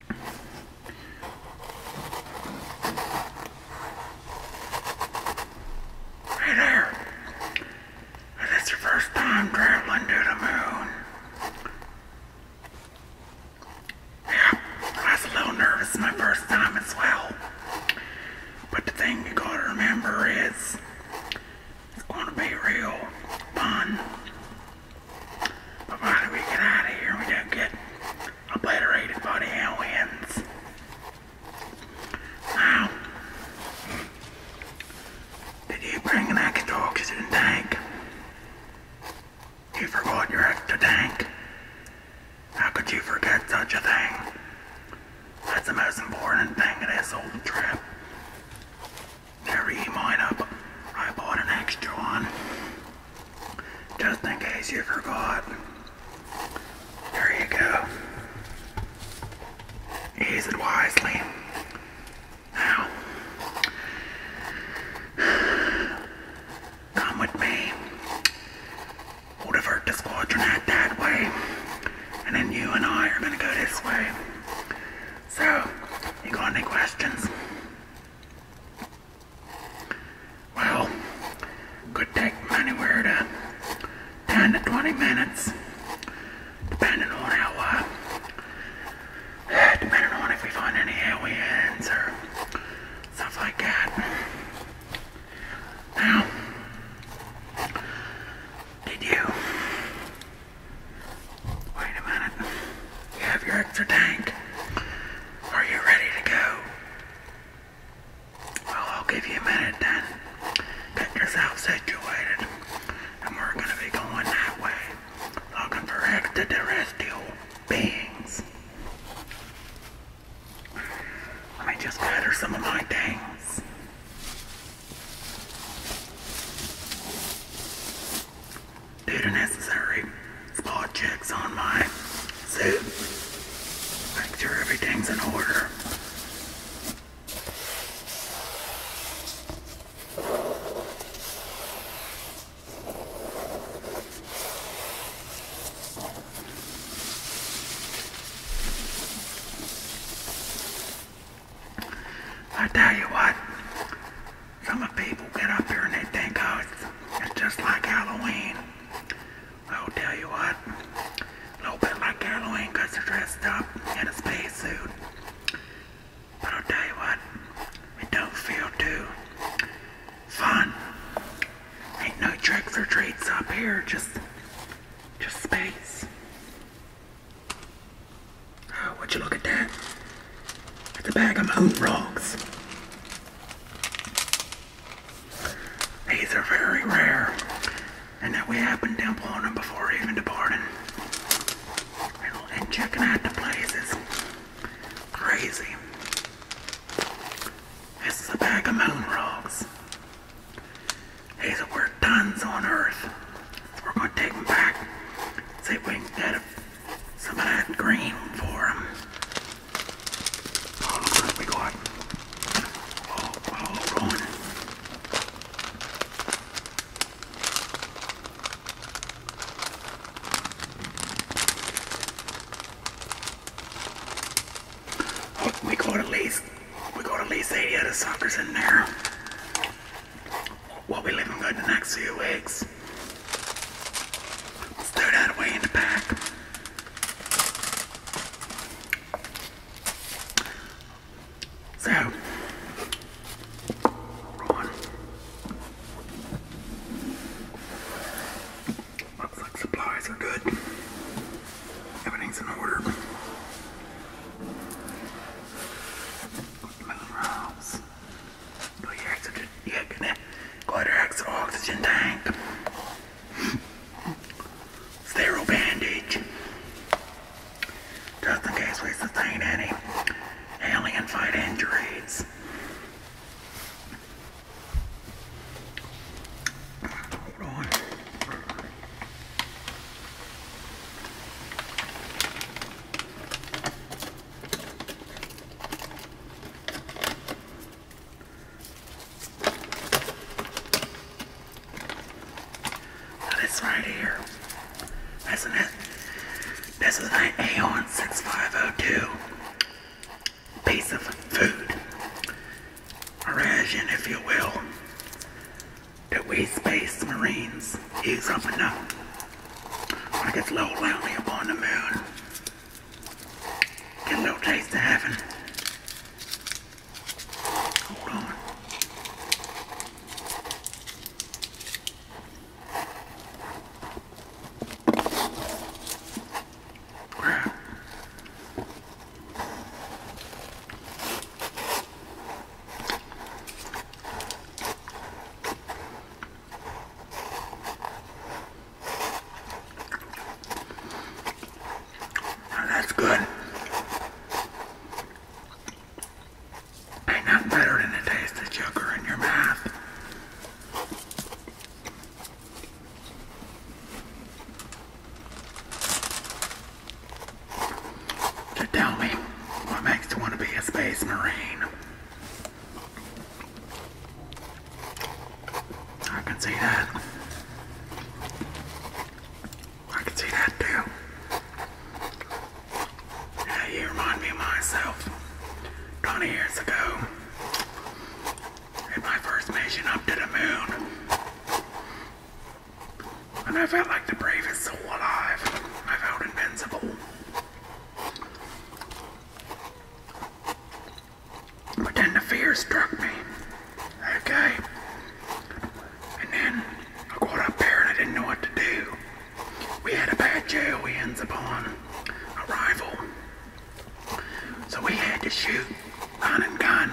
Hey there! Is this your first time traveling to the moon? Yeah, I was a little nervous my first time as well. But the thing you gotta remember is it's gonna be real fun. But why we get out of here? We don't get obliterated by the aliens. Now, did you bring an extra tank? You forgot your extra tank. How could you forget such a thing? That's the most important thing of this whole trip. Never eat mine up. I bought an extra one. Just in case you forgot. There you go. Use it wisely. Now, come with me. We'll divert the squadron out that way. And then you and I are gonna go this way. So, you got any questions? Well, could take anywhere to 10 to 20 minutes, depending on our, uh, depending on if we find any airways or stuff like that. Now, did you Wait a minute. You have your extra tank. Are you ready to go? Well, I'll give you a minute then. Get yourself situated. And we're gonna be going that way. Looking for extraterrestrial beings. Let me just gather some of my things. Did necessary spot checks on my suit. Make sure everything's in order. I tell you what, some of the people get up here and they think, oh, it's, it's just like Halloween. I'll tell you what, a little bit like Halloween because they're dressed up in a spacesuit. But I'll tell you what, it don't feel too fun. Ain't no tricks or treats up here, just, just space. Oh, would you look at that? It's a bag of moontrongs. These are very rare, and that we have been dimpling them before even departing. And, checking out the places. Crazy. This is a bag of moon rocks. Hey, so we're tons on Earth. we're gonna take them back. See if we can get some of that green for them. look what we got. Oh, oh, rolling. Oh, we got at least we got at least 80 of the suckers in there. We'll be living good the next few weeks. throw that away in the back. So, supplies are good. Everything's in order. Minerals. Do your oxygen, yeah, can go to your oxygen tank. Sterile bandage. Just in case we sustain any alien fight injuries. Hold on. Now this right here, isn't it? This is an Aeon 6502 piece of food. Mirage, if you will, that we space marines use up and up when it gets low lonely upon the moon. Get a little taste of heaven. Hold on that's good. Ain't nothing better than the taste of sugar in your mouth tell me, what makes you want to be a space marine? I can see that. I can see that too. Yeah, you remind me myself 20 years ago in my first mission up to the moon. And I felt like the bravest soul alive. I felt invincible. But then the fear struck me. Okay. And then I got up there and I didn't know what to do. We had a bad jail upon. Arrival. So we had to shoot gun and gun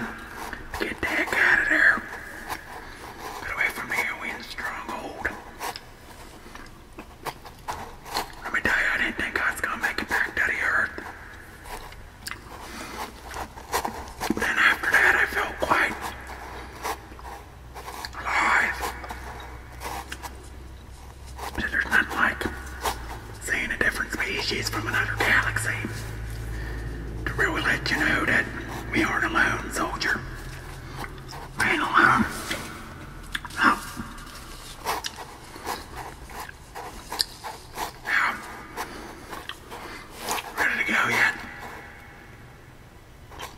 get the heck out of there. Get away from here, we stronghold. Let me tell you, I didn't think I was gonna make it back to the earth. then after that, I felt quite alive there's nothing like seeing a different species from another galaxy to really let you know that we aren't alone, soldier. ain't alone. Oh. Ready to go yet?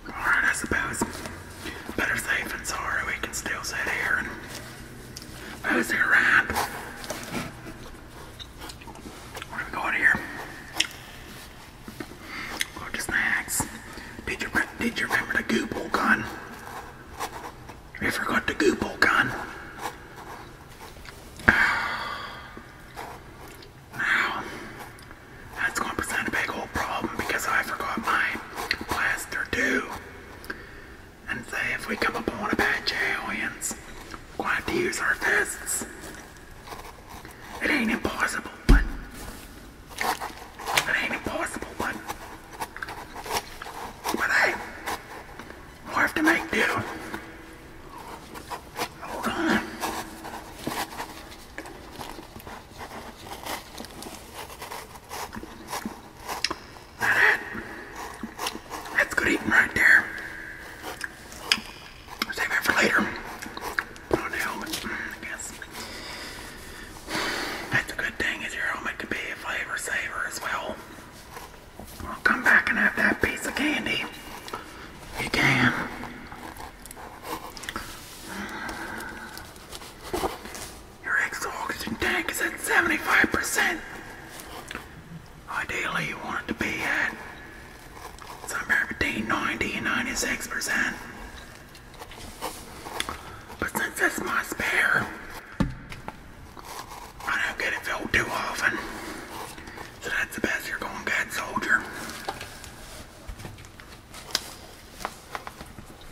Alright, I suppose. Better safe than sorry. We can still sit here that's a wrap. We're gonna go here. Go to snacks. Did you remember the Google gun? We forgot the Google gun. Now that's gonna present a big old problem because I forgot my plaster too and say if we come upon Apache aliens, we're going to use our fists. It ain't impossible, but it ain't impossible, but but hey, we have to make do. Hold on. That That's good eating right there. Save that for later. Put on the helmet, I guess. That's a good thing is your helmet could be a flavor saver as well. I'll come back and have that piece of candy. You can. Your extra oxygen tank is at 75%. Ideally, you want it to be at somewhere between 90 and 96%. But since it's my spare, I don't get it filled too often. So that's the best you're gonna get, soldier.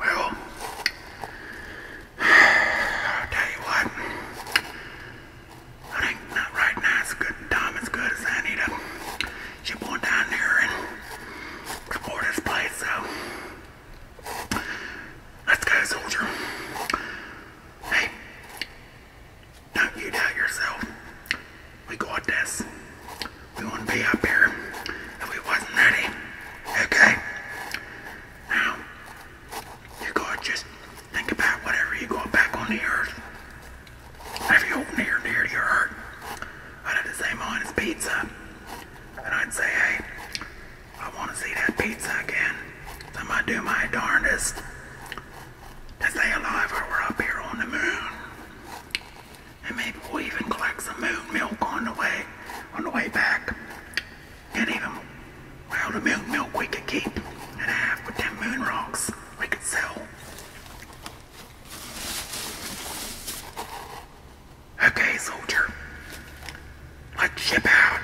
Well, I'll tell you what. I think not right now is good time as good as I need to ship one down there and support this place, so let's go soldier. Hey, don't you doubt yourself. We got this. We wouldn't be up here if we wasn't ready. Okay? Now, you gotta just think about whatever you got back on the earth. If you hold near near to I'd have to say mine is pizza. And I'd say, hey, I want to see that pizza again. So I'm gonna do my darndest to stay alive while we're up here on the moon. And maybe we'll even collect some moon milk on the way, on the way back. And even, well, the moon milk we could keep and half with them moon rocks we could sell. Okay, soldier. Let's ship out.